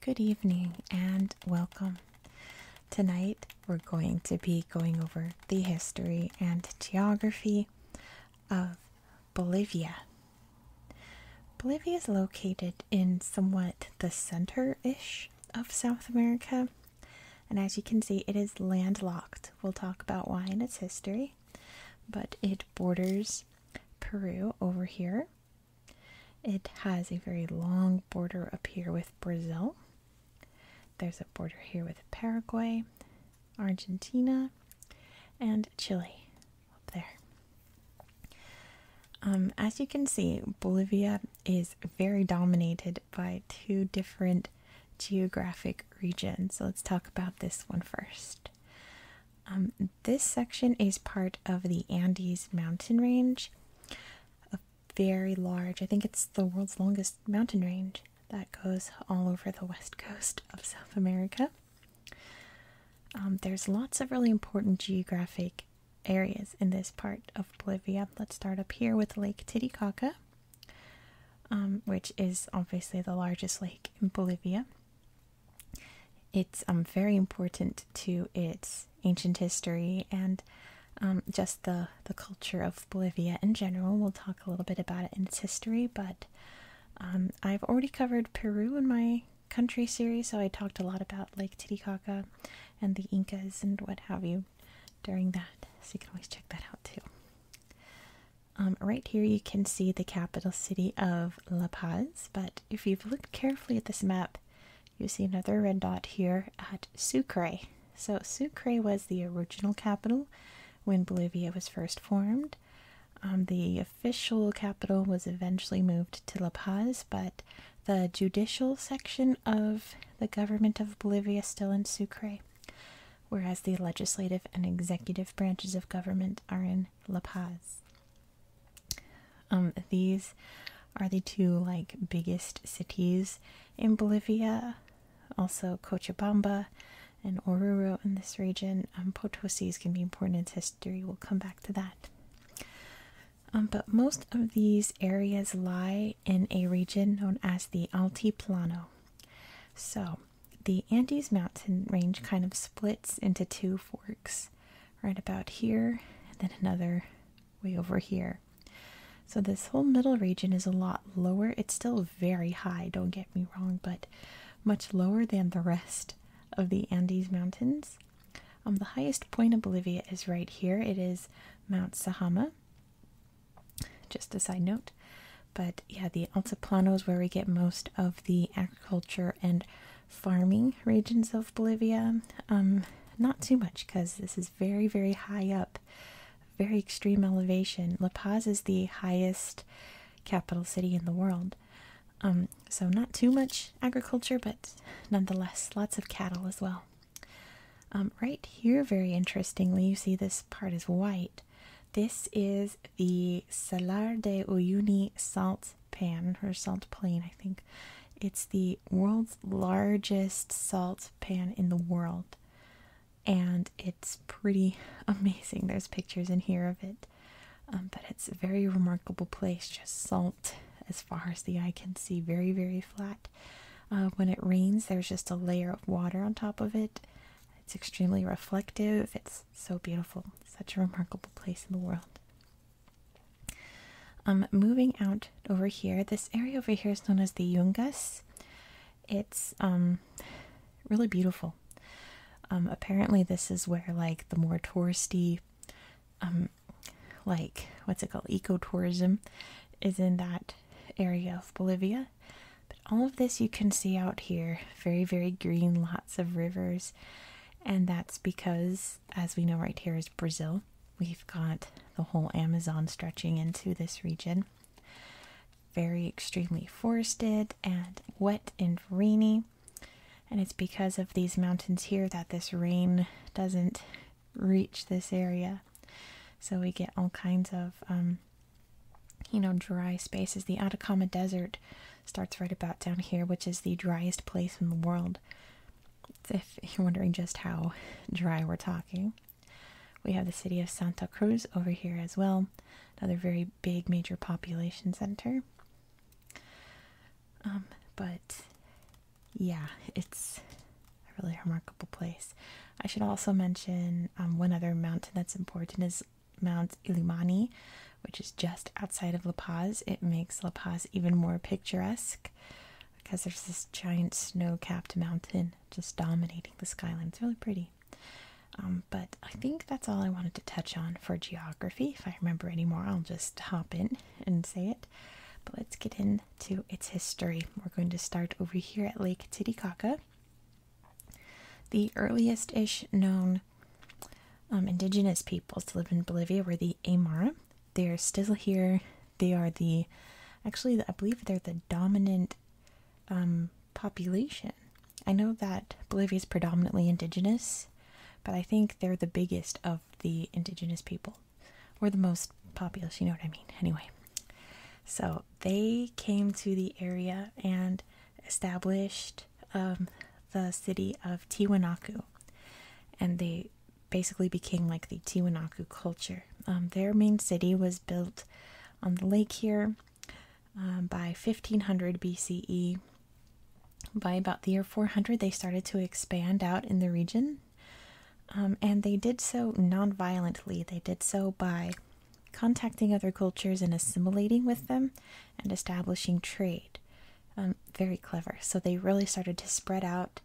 Good evening and welcome. Tonight we're going to be going over the history and geography of Bolivia. Bolivia is located in somewhat the center ish of South America. And as you can see, it is landlocked. We'll talk about why in its history, but it borders Peru over here. It has a very long border up here with Brazil. There's a border here with Paraguay, Argentina, and Chile there. Um, as you can see, Bolivia is very dominated by two different geographic regions. So let's talk about this one first. Um, this section is part of the Andes mountain range, a very large, I think it's the world's longest mountain range that goes all over the west coast of South America. Um, there's lots of really important geographic areas in this part of Bolivia. Let's start up here with Lake Titicaca, um, which is obviously the largest lake in Bolivia. It's um, very important to its ancient history and just the, the culture of Bolivia in general. We'll talk a little bit about it in its history, but I've already covered Peru in my country series, so I talked a lot about Lake Titicaca and the Incas and what have you during that. So you can always check that out too. Um, right here, you can see the capital city of La Paz, but if you've looked carefully at this map, you see another red dot here at Sucre. So, Sucre was the original capital when Bolivia was first formed. Um, the official capital was eventually moved to La Paz, but the judicial section of the government of Bolivia still in Sucre, whereas the legislative and executive branches of government are in La Paz. Um, these are the two like biggest cities in Bolivia, also Cochabamba and Oruro in this region. Um, Potosi is going to be important in its history. We'll come back to that. Um, but most of these areas lie in a region known as the Altiplano. So the Andes mountain range kind of splits into two forks, right about here, and then another way over here. So this whole middle region is a lot lower. It's still very high, don't get me wrong, but much lower than the rest of the Andes mountains. Um, the highest point of Bolivia is right here. It is Mount Sahama. Just a side note. But yeah, the Altiplano is where we get most of the agriculture and farming regions of Bolivia. Um, not too much because this is very, very high up, very extreme elevation. La Paz is the highest capital city in the world. Um, so, not too much agriculture, but nonetheless, lots of cattle as well. Um, right here, very interestingly, you see this part is white. This is the Salar de Uyuni salt pan, or salt plain, I think. It's the world's largest salt pan in the world. And it's pretty amazing. There's pictures in here of it. Um, but it's a very remarkable place, just salt as far as the eye can see, very, very flat. Uh, when it rains, there's just a layer of water on top of it. It's extremely reflective. It's so beautiful. Such a remarkable place in the world. Um, moving out over here, this area over here is known as the Jungas. It's um, really beautiful. Um, apparently, this is where like the more touristy um, like what's it called ecotourism is in that area of Bolivia. But all of this you can see out here, very very green, lots of rivers. And that's because as we know right here is Brazil. We've got the whole Amazon stretching into this region. Very extremely forested and wet and rainy. And it's because of these mountains here that this rain doesn't reach this area. So we get all kinds of, um, you know, dry spaces. The Atacama Desert starts right about down here, which is the driest place in the world. If you're wondering just how dry we're talking, we have the city of Santa Cruz over here as well, another very big major population center. Um, but yeah, it's a really remarkable place. I should also mention um, one other mountain that's important is Mount Illimani, which is just outside of La Paz. It makes La Paz even more picturesque because there's this giant snow capped mountain just dominating the skyline. It's really pretty. Um, but I think that's all I wanted to touch on for geography. If I remember any more, I'll just hop in and say it. But let's get into its history. We're going to start over here at Lake Titicaca. The earliest ish known um, indigenous peoples to live in Bolivia were the Aymara. They are still here. They are the, actually, I believe they're the dominant um, population. I know that Bolivia is predominantly indigenous, but I think they're the biggest of the indigenous people were the most populous, you know what I mean. Anyway, so they came to the area and established um, the city of Tiwanaku, and they basically became like the Tiwanaku culture. Um, their main city was built on the lake here um, by 1500 BCE by about the year 400, they started to expand out in the region, um, and they did so non-violently. They did so by contacting other cultures and assimilating with them, and establishing trade. Um, very clever. So they really started to spread out.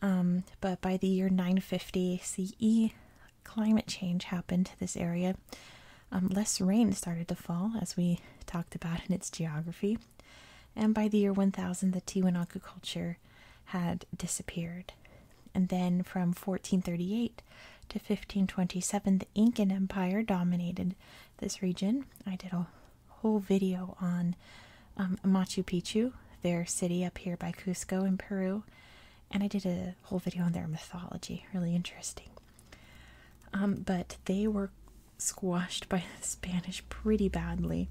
Um, but by the year 950 CE, climate change happened to this area. less rain started to fall, as we talked about in its geography. And by the year 1000, the Tiwanaku culture had disappeared. And then from 1438 to 1527, the Incan Empire dominated this region. I did a whole video on um, Machu Picchu, their city up here by Cusco in Peru, and I did a whole video on their mythology. Really interesting. Um, but they were squashed by the Spanish pretty badly.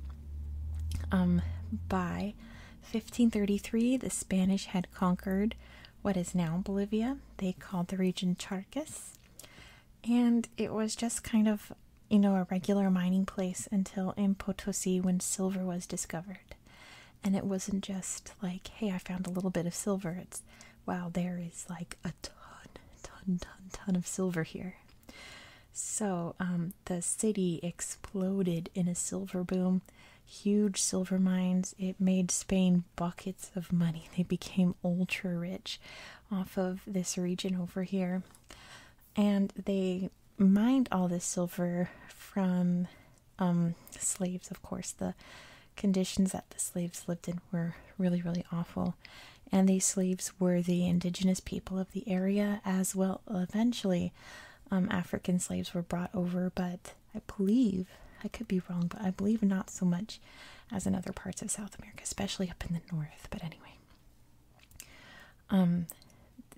Um, by 1533, the Spanish had conquered what is now Bolivia. They called the region Charcas, and it was just kind of you know a regular mining place until in Potosi when silver was discovered. And it wasn't just like, hey, I found a little bit of silver. It's wow, there is like a ton, ton, ton, ton of silver here. So um, the city exploded in a silver boom, huge silver mines. It made Spain buckets of money. They became ultra rich off of this region over here. And they mined all this silver from um, slaves, of course. The conditions that the slaves lived in were really, really awful. And these slaves were the indigenous people of the area as well. Eventually, um, African slaves were brought over, but I believe, I could be wrong, but I believe not so much as in other parts of South America, especially up in the north. But anyway. Um,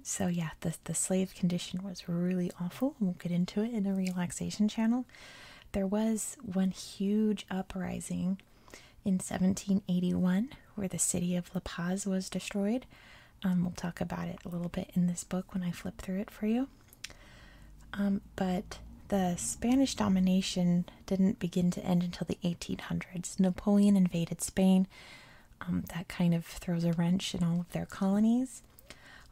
so yeah, the, the slave condition was really awful. We'll get into it in a relaxation channel. There was one huge uprising in 1781, where the city of La Paz was destroyed. Um, we'll talk about it a little bit in this book when I flip through it for you. Um, but the Spanish domination didn't begin to end until the 1800s. Napoleon invaded Spain. Um, that kind of throws a wrench in all of their colonies.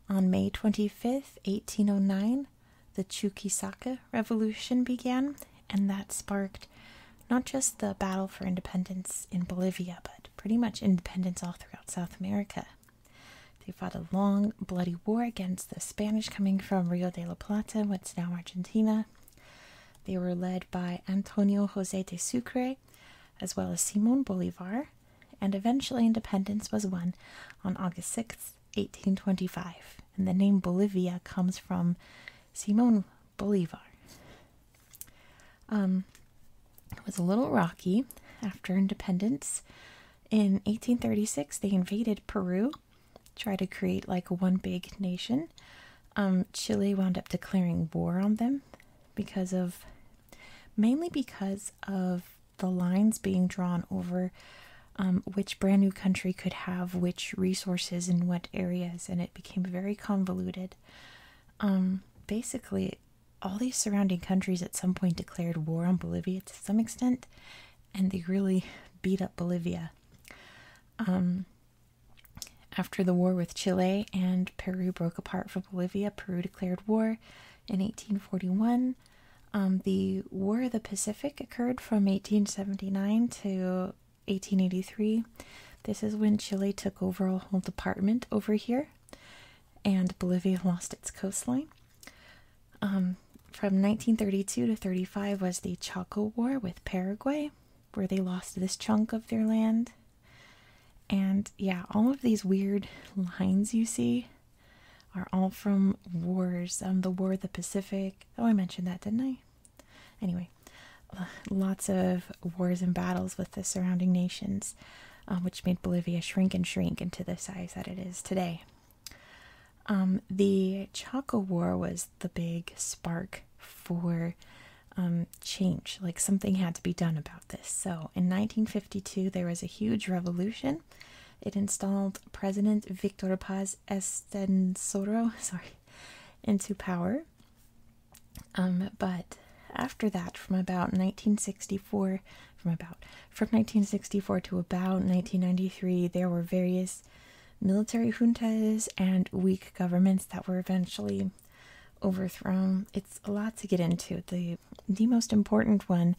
On May 25th, 1809, the Chuquisaca Revolution began, and that sparked not just the battle for independence in Bolivia, but pretty much independence all throughout South America. They fought a long, bloody war against the Spanish coming from Rio de la Plata, what's now Argentina. They were led by Antonio Jose de Sucre, as well as Simon Bolivar, and eventually independence was won on August sixth, 1825. And the name Bolivia comes from Simon Bolivar. it um, was a little rocky after independence. In 1836, they invaded Peru, try to create like one big nation. Um, Chile wound up declaring war on them because of mainly because of the lines being drawn over um, which brand new country could have which resources in what areas, and it became very convoluted. Um, basically, all these surrounding countries at some point declared war on Bolivia to some extent, and they really beat up Bolivia. Um, after the war with Chile and Peru broke apart from Bolivia, Peru declared war in 1841. Um, the War of the Pacific occurred from 1879 to 1883. This is when Chile took over a whole department over here, and Bolivia lost its coastline. Um, from 1932 to 35 was the Chaco War with Paraguay, where they lost this chunk of their land. And yeah, all of these weird lines you see are all from wars. Um, the War of the Pacific. Oh, I mentioned that, didn't I? Anyway, uh, lots of wars and battles with the surrounding nations, uh, which made Bolivia shrink and shrink into the size that it is today. Um, the Chaco War was the big spark for um, change. Like something had to be done about this. So in 1952, there was a huge revolution. It installed President Victor Paz Estenssoro. sorry, into power. Um, but after that, from about 1964, from about from 1964 to about 1993, there were various military juntas and weak governments that were eventually overthrown. It's a lot to get into. The the most important one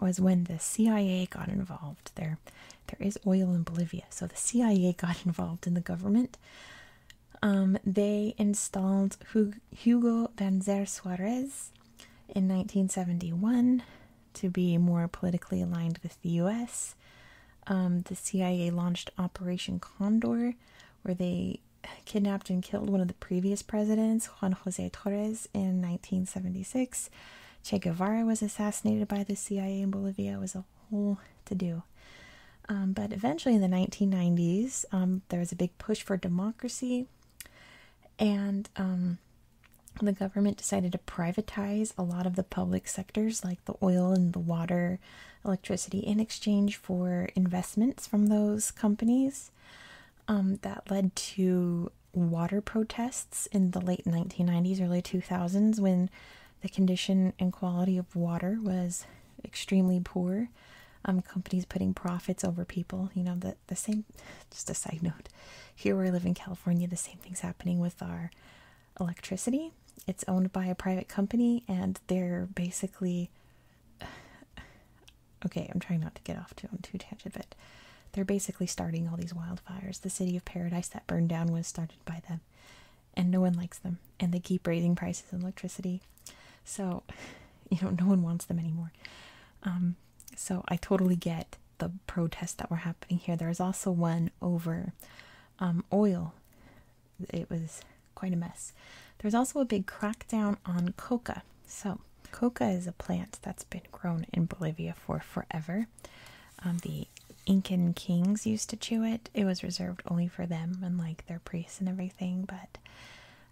was when the CIA got involved. there. There is oil in Bolivia, so the CIA got involved in the government. Um, they installed Hugo Banzer Suarez in 1971 to be more politically aligned with the US. Um, the CIA launched Operation Condor, where they kidnapped and killed one of the previous presidents, Juan Jose Torres, in 1976. Che Guevara was assassinated by the CIA in Bolivia. It was whole to do. Um, but eventually, in the 1990s, um, there was a big push for democracy, and um, the government decided to privatize a lot of the public sectors, like the oil and the water, electricity, in exchange for investments from those companies. Um, that led to water protests in the late 1990s, early 2000s, when the condition and quality of water was extremely poor. Um, companies putting profits over people. You know, the, the same, just a side note, here where I live in California, the same thing's happening with our electricity. It's owned by a private company and they're basically, okay, I'm trying not to get off too, on too tangent, but they're basically starting all these wildfires. The city of Paradise that burned down was started by them and no one likes them and they keep raising prices on electricity so you know no one wants them anymore um so i totally get the protests that were happening here there was also one over um oil it was quite a mess there's also a big crackdown on coca so coca is a plant that's been grown in bolivia for forever um, the Incan kings used to chew it. It was reserved only for them and like their priests and everything. But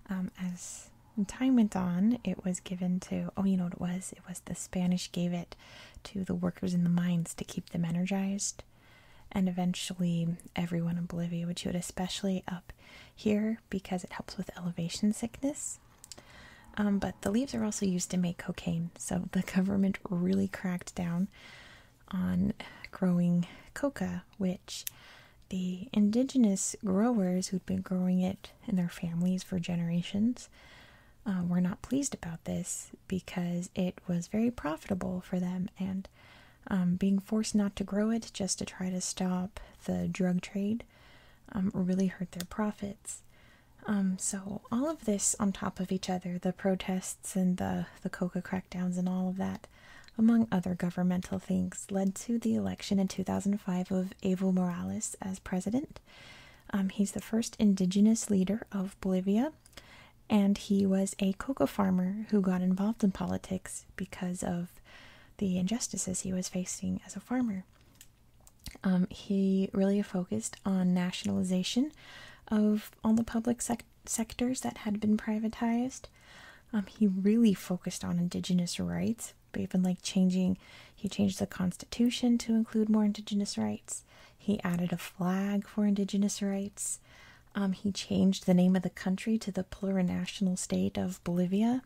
um, as time went on, it was given to oh, you know what it was? It was the Spanish gave it to the workers in the mines to keep them energized. And eventually, everyone in Bolivia would chew it, especially up here because it helps with elevation sickness. Um, but the leaves are also used to make cocaine, so the government really cracked down on growing coca, which the indigenous growers who'd been growing it in their families for generations uh, were not pleased about this because it was very profitable for them and um, being forced not to grow it just to try to stop the drug trade um, really hurt their profits um, so all of this on top of each other, the protests and the the coca crackdowns and all of that, among other governmental things, led to the election in 2005 of Evo Morales as president. Um, he's the first indigenous leader of Bolivia, and he was a coca farmer who got involved in politics because of the injustices he was facing as a farmer. Um, he really focused on nationalization of all the public sectors that had been privatized. Um, he really focused on indigenous rights, but even like changing, he changed the constitution to include more indigenous rights. He added a flag for indigenous rights. Um, he changed the name of the country to the plurinational state of Bolivia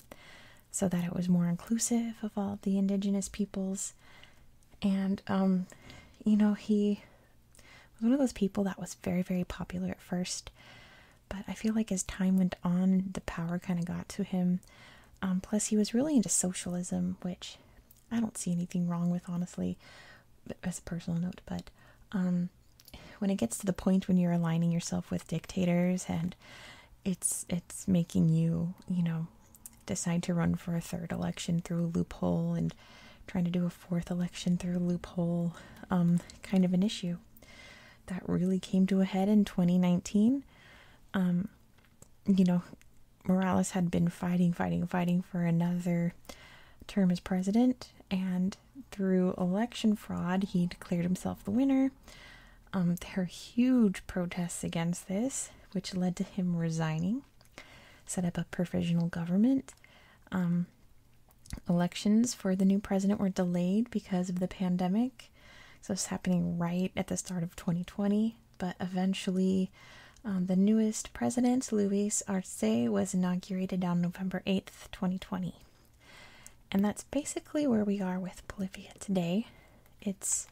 so that it was more inclusive of all the indigenous peoples. And, um, you know, he was one of those people that was very, very popular at first, but I feel like as time went on, the power kind of got to him. Um, plus, he was really into socialism, which I don't see anything wrong with, honestly, as a personal note. But um, when it gets to the point when you're aligning yourself with dictators and it's it's making you, you know, decide to run for a third election through a loophole and trying to do a fourth election through a loophole um, kind of an issue. That really came to a head in 2019. Um, you know, Morales had been fighting, fighting, fighting for another term as president, and through election fraud, he declared himself the winner. Um, there were huge protests against this, which led to him resigning set up a provisional government. Um, elections for the new president were delayed because of the pandemic. So it's happening right at the start of 2020. But eventually, um, the newest president, Luis Arce, was inaugurated on November 8th, 2020. And that's basically where we are with Bolivia today. It's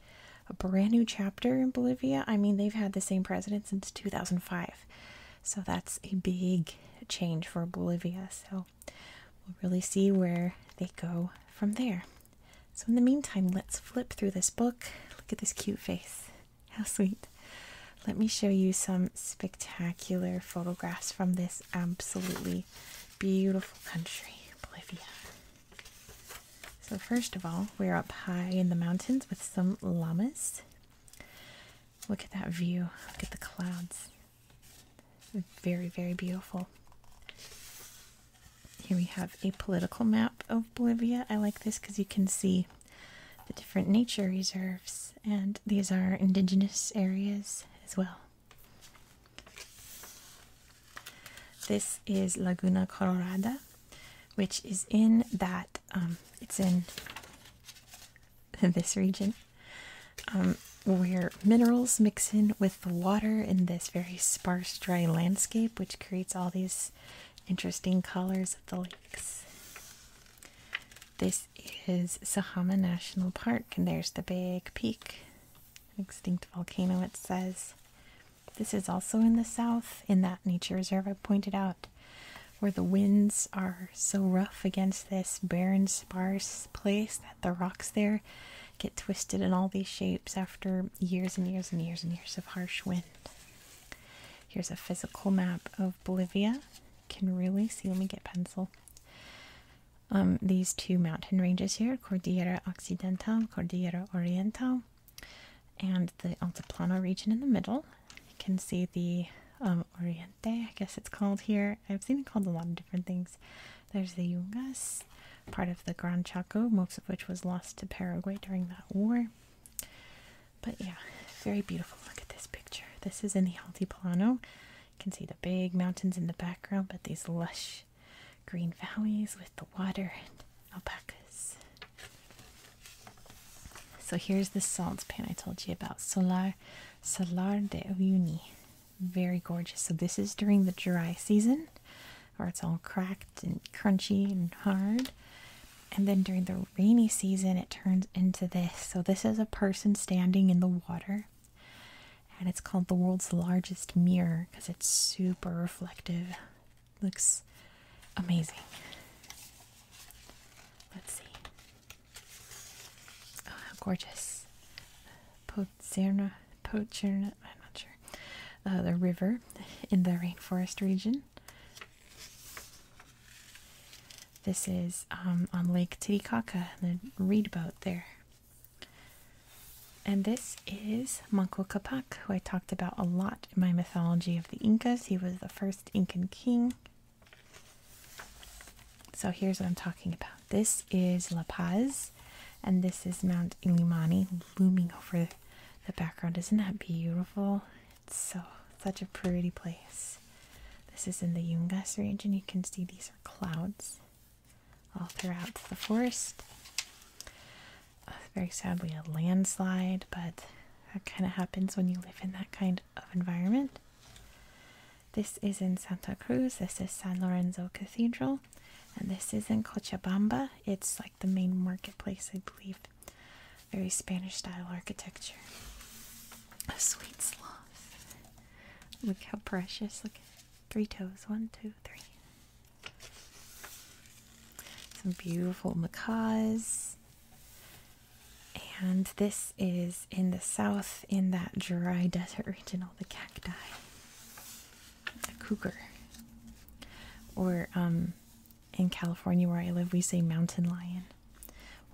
a brand new chapter in Bolivia. I mean, they've had the same president since 2000. Five, So that's a big change for Bolivia. So we'll really see where they go from there. So, in the meantime, let's flip through this book. Look at this cute face. How sweet. Let me show you some spectacular photographs from this absolutely beautiful country, Bolivia. So first of all, we're up high in the mountains with some llamas. Look at that view. Look at the clouds. Very, very beautiful. Here we have a political map of Bolivia. I like this because you can see the different nature reserves, and these are indigenous areas as well. This is Laguna Colorada, which is in that um, it's in this region um, where minerals mix in with the water in this very sparse dry landscape which creates all these interesting colors of the lakes this is sahama national park and there's the big peak extinct volcano it says this is also in the south, in that nature reserve I pointed out, where the winds are so rough against this barren, sparse place that the rocks there get twisted in all these shapes after years and years and years and years of harsh wind. Here's a physical map of Bolivia. Can really see, let me get pencil. Um, these two mountain ranges here, Cordillera Occidental, Cordillera Oriental and the Altiplano region in the middle. You can see the um, Oriente, I guess it's called here. I've seen it called a lot of different things. There's the Yungas, part of the Gran Chaco, most of which was lost to Paraguay during that war. But yeah, very beautiful. Look at this picture. This is in the Altiplano. You can see the big mountains in the background, but these lush green valleys with the water alpacas. So here's the salt pan I told you about, Solar Solar de Uyuni. Very gorgeous. So this is during the dry season, where it's all cracked and crunchy and hard. And then during the rainy season, it turns into this. So this is a person standing in the water. And it's called the world's largest mirror because it's super reflective. Looks amazing. Let's see. Oh, how gorgeous. Pozzerna, Pozzerna, I'm not sure. Uh, the river in the rainforest region. This is um, on Lake Titicaca, the reed boat there. And this is Manco Capac, who I talked about a lot in my mythology of the Incas. He was the first Incan king. So here's what I'm talking about. This is La Paz, and this is Mount Ilimani looming over the background. Isn't that beautiful? It's so such a pretty place. This is in the Yungas range, and You can see these are clouds all throughout the forest uh, very sadly a landslide, but that kind of happens when you live in that kind of environment. This is in Santa Cruz. This is San Lorenzo Cathedral. And this is in Cochabamba. It's like the main marketplace, I believe. Very Spanish style architecture. A sweet sloth. Look how precious. Look three toes. One, two, three. Some beautiful macaws. And this is in the south in that dry desert region, all the cacti. A cougar. Or um, in California where I live, we say mountain lion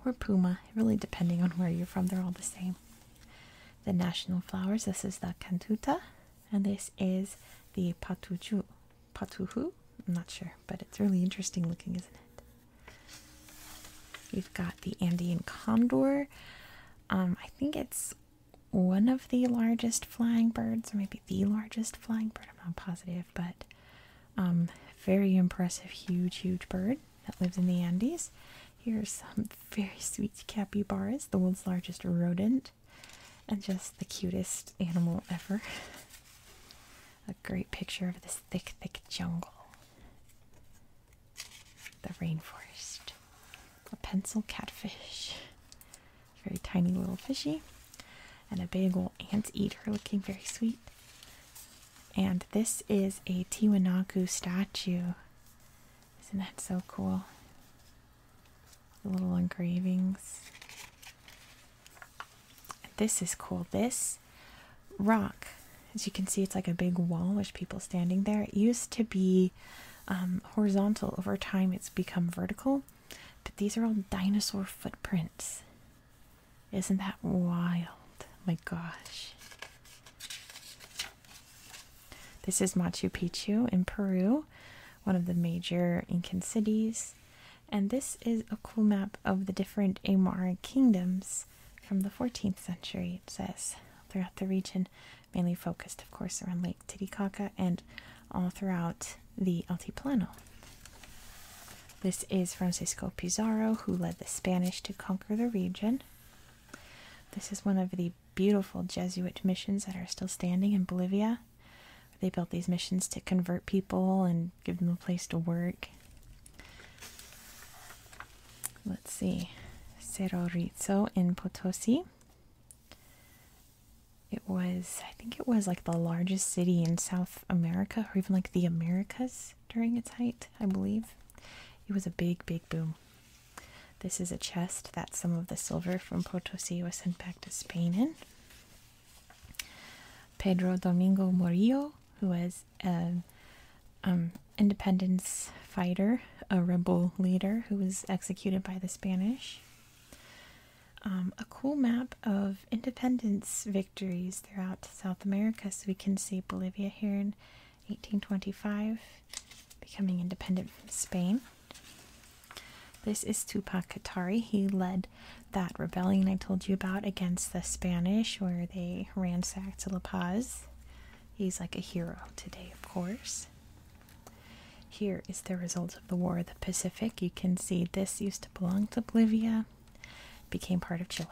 or puma, really depending on where you're from, they're all the same. The national flowers this is the cantuta, and this is the patucho. Patuhu? I'm not sure, but it's really interesting looking, isn't it? We've got the Andean condor. Um, I think it's one of the largest flying birds, or maybe the largest flying bird. I'm not positive, but um, very impressive, huge, huge bird that lives in the Andes. Here's some very sweet capybaras, the world's largest rodent, and just the cutest animal ever. a great picture of this thick, thick jungle. The rainforest. A pencil catfish. Very tiny little fishy. And a big ant eater looking very sweet. And this is a Tiwanaku statue. Isn't that so cool? The little engravings. This is cool. This rock, as you can see, it's like a big wall with people standing there. It used to be um, horizontal. Over time, it's become vertical. But these are all dinosaur footprints. Isn't that wild? My gosh. This is Machu Picchu in Peru, one of the major Incan cities. And this is a cool map of the different Amara kingdoms from the 14th century, it says, throughout the region, mainly focused, of course, around Lake Titicaca and all throughout the Altiplano. This is Francisco Pizarro, who led the Spanish to conquer the region. This is one of the beautiful Jesuit missions that are still standing in Bolivia. They built these missions to convert people and give them a place to work. Let's see, Cerro Rizzo in Potosi. It was, I think it was like the largest city in South America, or even like the Americas during its height, I believe. It was a big, big boom. This is a chest that some of the silver from Potosi was sent back to Spain in. Pedro Domingo Murillo, was an um, independence fighter, a rebel leader who was executed by the Spanish. Um, a cool map of independence victories throughout South America. So we can see Bolivia here in 1825 becoming independent from Spain. This is Tupac Katari. He led that rebellion I told you about against the Spanish, where they ransacked La Paz. He's like a hero today, of course. Here is the result of the War of the Pacific. You can see this used to belong to Bolivia, became part of Chile.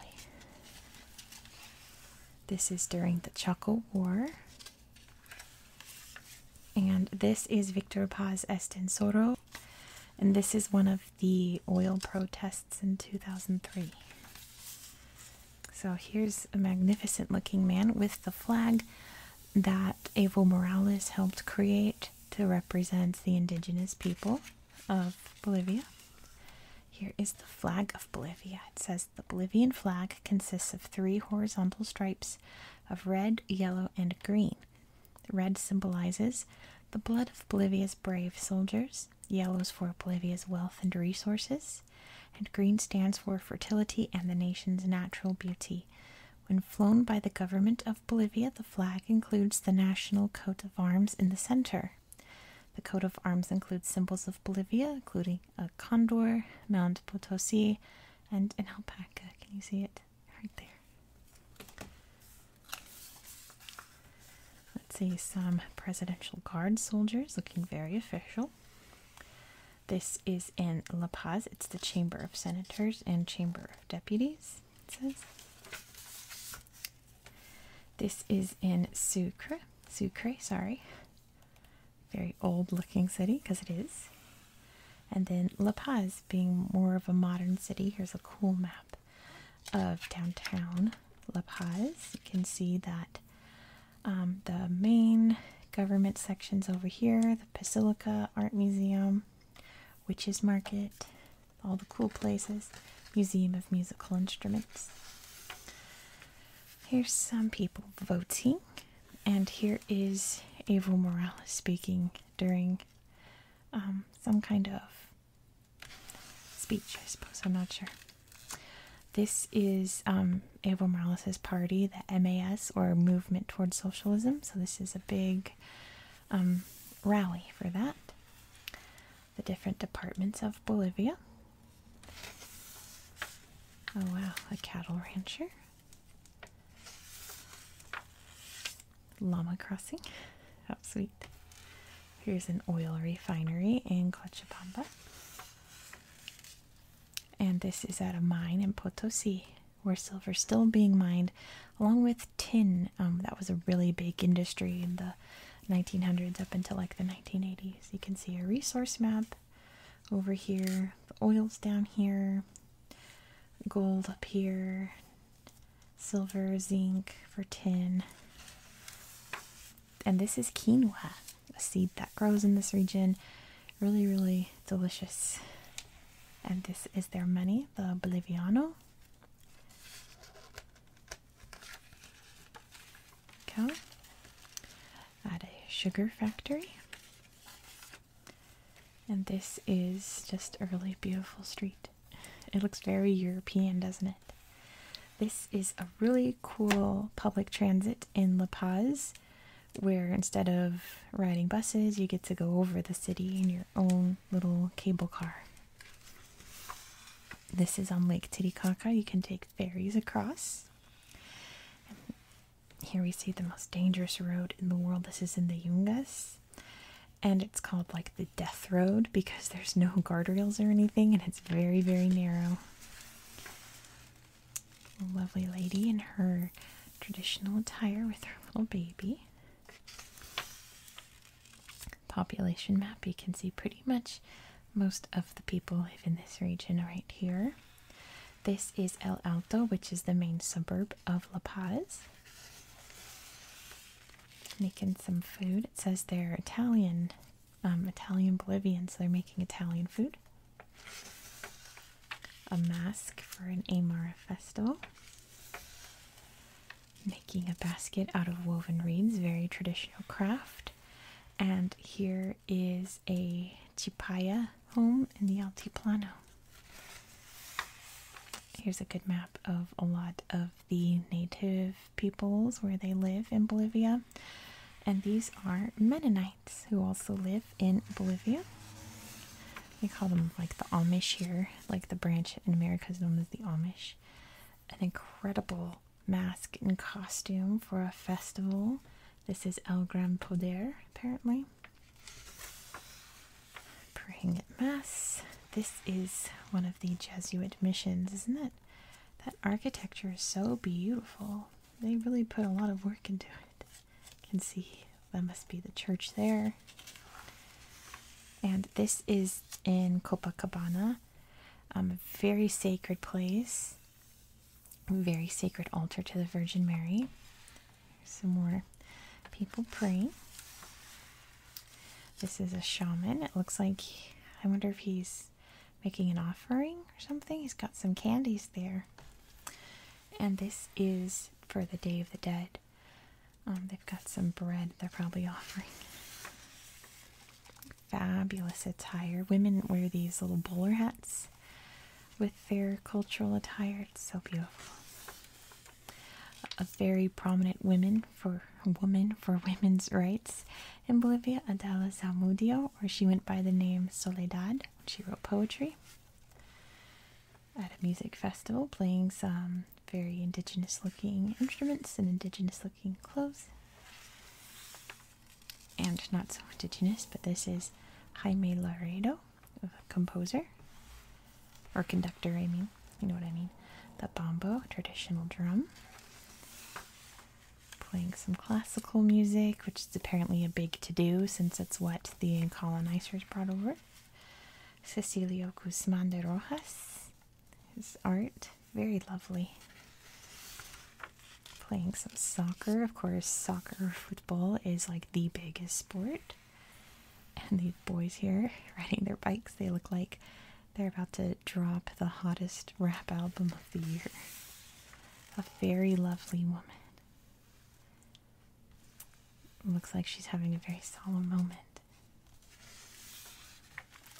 This is during the Chaco War. And this is Victor Paz Estensoro. And this is one of the oil protests in 2003. So here's a magnificent looking man with the flag that Evo Morales helped create to represent the indigenous people of Bolivia. Here is the flag of Bolivia. It says the Bolivian flag consists of three horizontal stripes of red, yellow, and green. Red symbolizes the blood of Bolivia's brave soldiers, yellow is for Bolivia's wealth and resources, and green stands for fertility and the nation's natural beauty. When flown by the government of Bolivia, the flag includes the national coat of arms in the center. The coat of arms includes symbols of Bolivia, including a condor, Mount Potosi, and an alpaca. Can you see it? right there. Let's see some Presidential Guard soldiers looking very official. This is in La Paz. It's the Chamber of Senators and Chamber of Deputies, it says. This is in Sucre. Sucre, sorry. Very old looking city, because it is. And then La Paz being more of a modern city. Here's a cool map of downtown La Paz. You can see that um, the main government sections over here, the Basilica Art Museum, Witches Market, all the cool places, Museum of Musical Instruments. Here's some people voting, and here is Evo Morales speaking during um, some kind of speech, I suppose. I'm not sure. This is um, Evo Morales' party, the MAS, or Movement Towards Socialism. So, this is a big um, rally for that. The different departments of Bolivia. Oh, wow, a cattle rancher. Llama Crossing. How oh, sweet. Here's an oil refinery in Cochabamba. And this is at a mine in Potosi where silver still being mined along with tin. Um, that was a really big industry in the 1900s up until like the 1980s. You can see a resource map over here, the oil's down here, gold up here, silver, zinc for tin. And this is quinoa, a seed that grows in this region. Really, really delicious. And this is their money, the Boliviano. Go. At a sugar factory. And this is just a really beautiful street. It looks very European, doesn't it? This is a really cool public transit in La Paz where instead of riding buses, you get to go over the city in your own little cable car. This is on Lake Titicaca. You can take ferries across. here we see the most dangerous road in the world. This is in the jungas. And it's called like the Death Road because there's no guardrails or anything and it's very, very narrow. lovely lady in her traditional attire with her little baby. Population map you can see pretty much most of the people live in this region right here. This is El Alto, which is the main suburb of La Paz making some food. It says they're Italian, um, Italian Bolivians. they're making Italian food. A mask for an Amara Festo. Making a basket out of woven reeds, very traditional craft. And here is a Chipaya home in the Altiplano. Here's a good map of a lot of the native peoples where they live in Bolivia. And these are Mennonites who also live in Bolivia. We call them like the Amish here, like the branch in America is known as the Amish. An incredible mask and costume for a festival. This is El Gran Poder, apparently praying at Mass. This is one of the Jesuit missions, isn't it? That architecture is so beautiful. They really put a lot of work into it. You can see that must be the church there. And this is in Copacabana, um, a very sacred place, very sacred altar to the Virgin Mary. Here's some more people praying. This is a shaman. It looks like, I wonder if he's making an offering or something. He's got some candies there. And this is for the Day of the Dead. Um, they've got some bread they're probably offering. Fabulous attire. Women wear these little bowler hats with their cultural attire. It's so beautiful a very prominent women for woman for women's rights in Bolivia, Adela Zamudio, or she went by the name Soledad. She wrote poetry at a music festival, playing some very indigenous-looking instruments and indigenous-looking clothes, and not so indigenous. But this is Jaime Laredo, a composer or conductor, I mean, you know what I mean. The bombo, traditional drum, playing some classical music, which is apparently a big to do since it's what the colonizers brought over. Cecilio Guzman de Rojas, his art, very lovely. Playing some soccer, of course, soccer football is like the biggest sport. And these boys here riding their bikes, they look like they're about to drop the hottest rap album of the year. A very lovely woman. Looks like she's having a very solemn moment.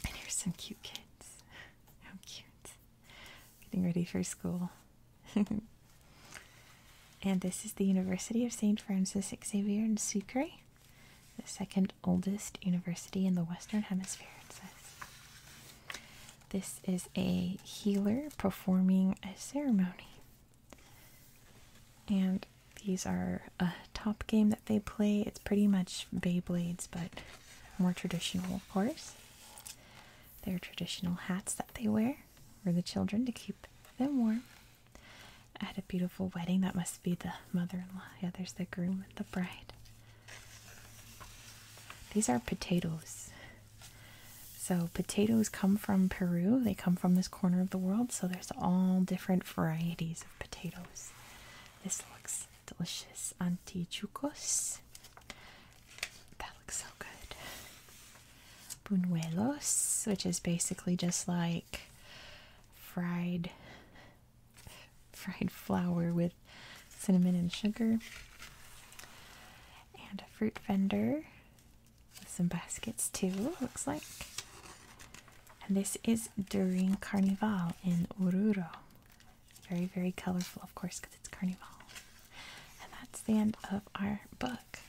And here's some cute kids. How cute. Getting ready for school. and this is the University of St. Francis Xavier in Sucre the second oldest university in the Western Hemisphere, it says. This is a healer performing a ceremony. And these are a top game that they play. It's pretty much Beyblades, but more traditional, of course. Their traditional hats that they wear for the children to keep them warm. I had a beautiful wedding. That must be the mother-in-law. Yeah, there's the groom and the bride. These are potatoes. So potatoes come from Peru. They come from this corner of the world. So there's all different varieties of potatoes. This looks delicious. Antichucos. That looks so good. Buñuelos, which is basically just like fried fried flour with cinnamon and sugar and a fruit vendor with some baskets too looks like and this is during carnival in oruro very very colorful of course because it's carnival and that's the end of our book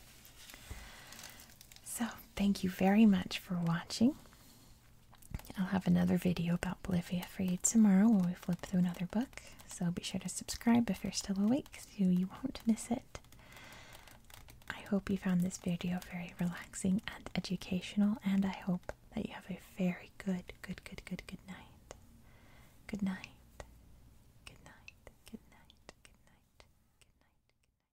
so thank you very much for watching. I'll have another video about Bolivia for you tomorrow when we flip through another book. So be sure to subscribe if you're still awake so you won't miss it. I hope you found this video very relaxing and educational, and I hope that you have a very good, good, good, good, good night. Good night. Good night. Good night. Good night. Good night. Good night.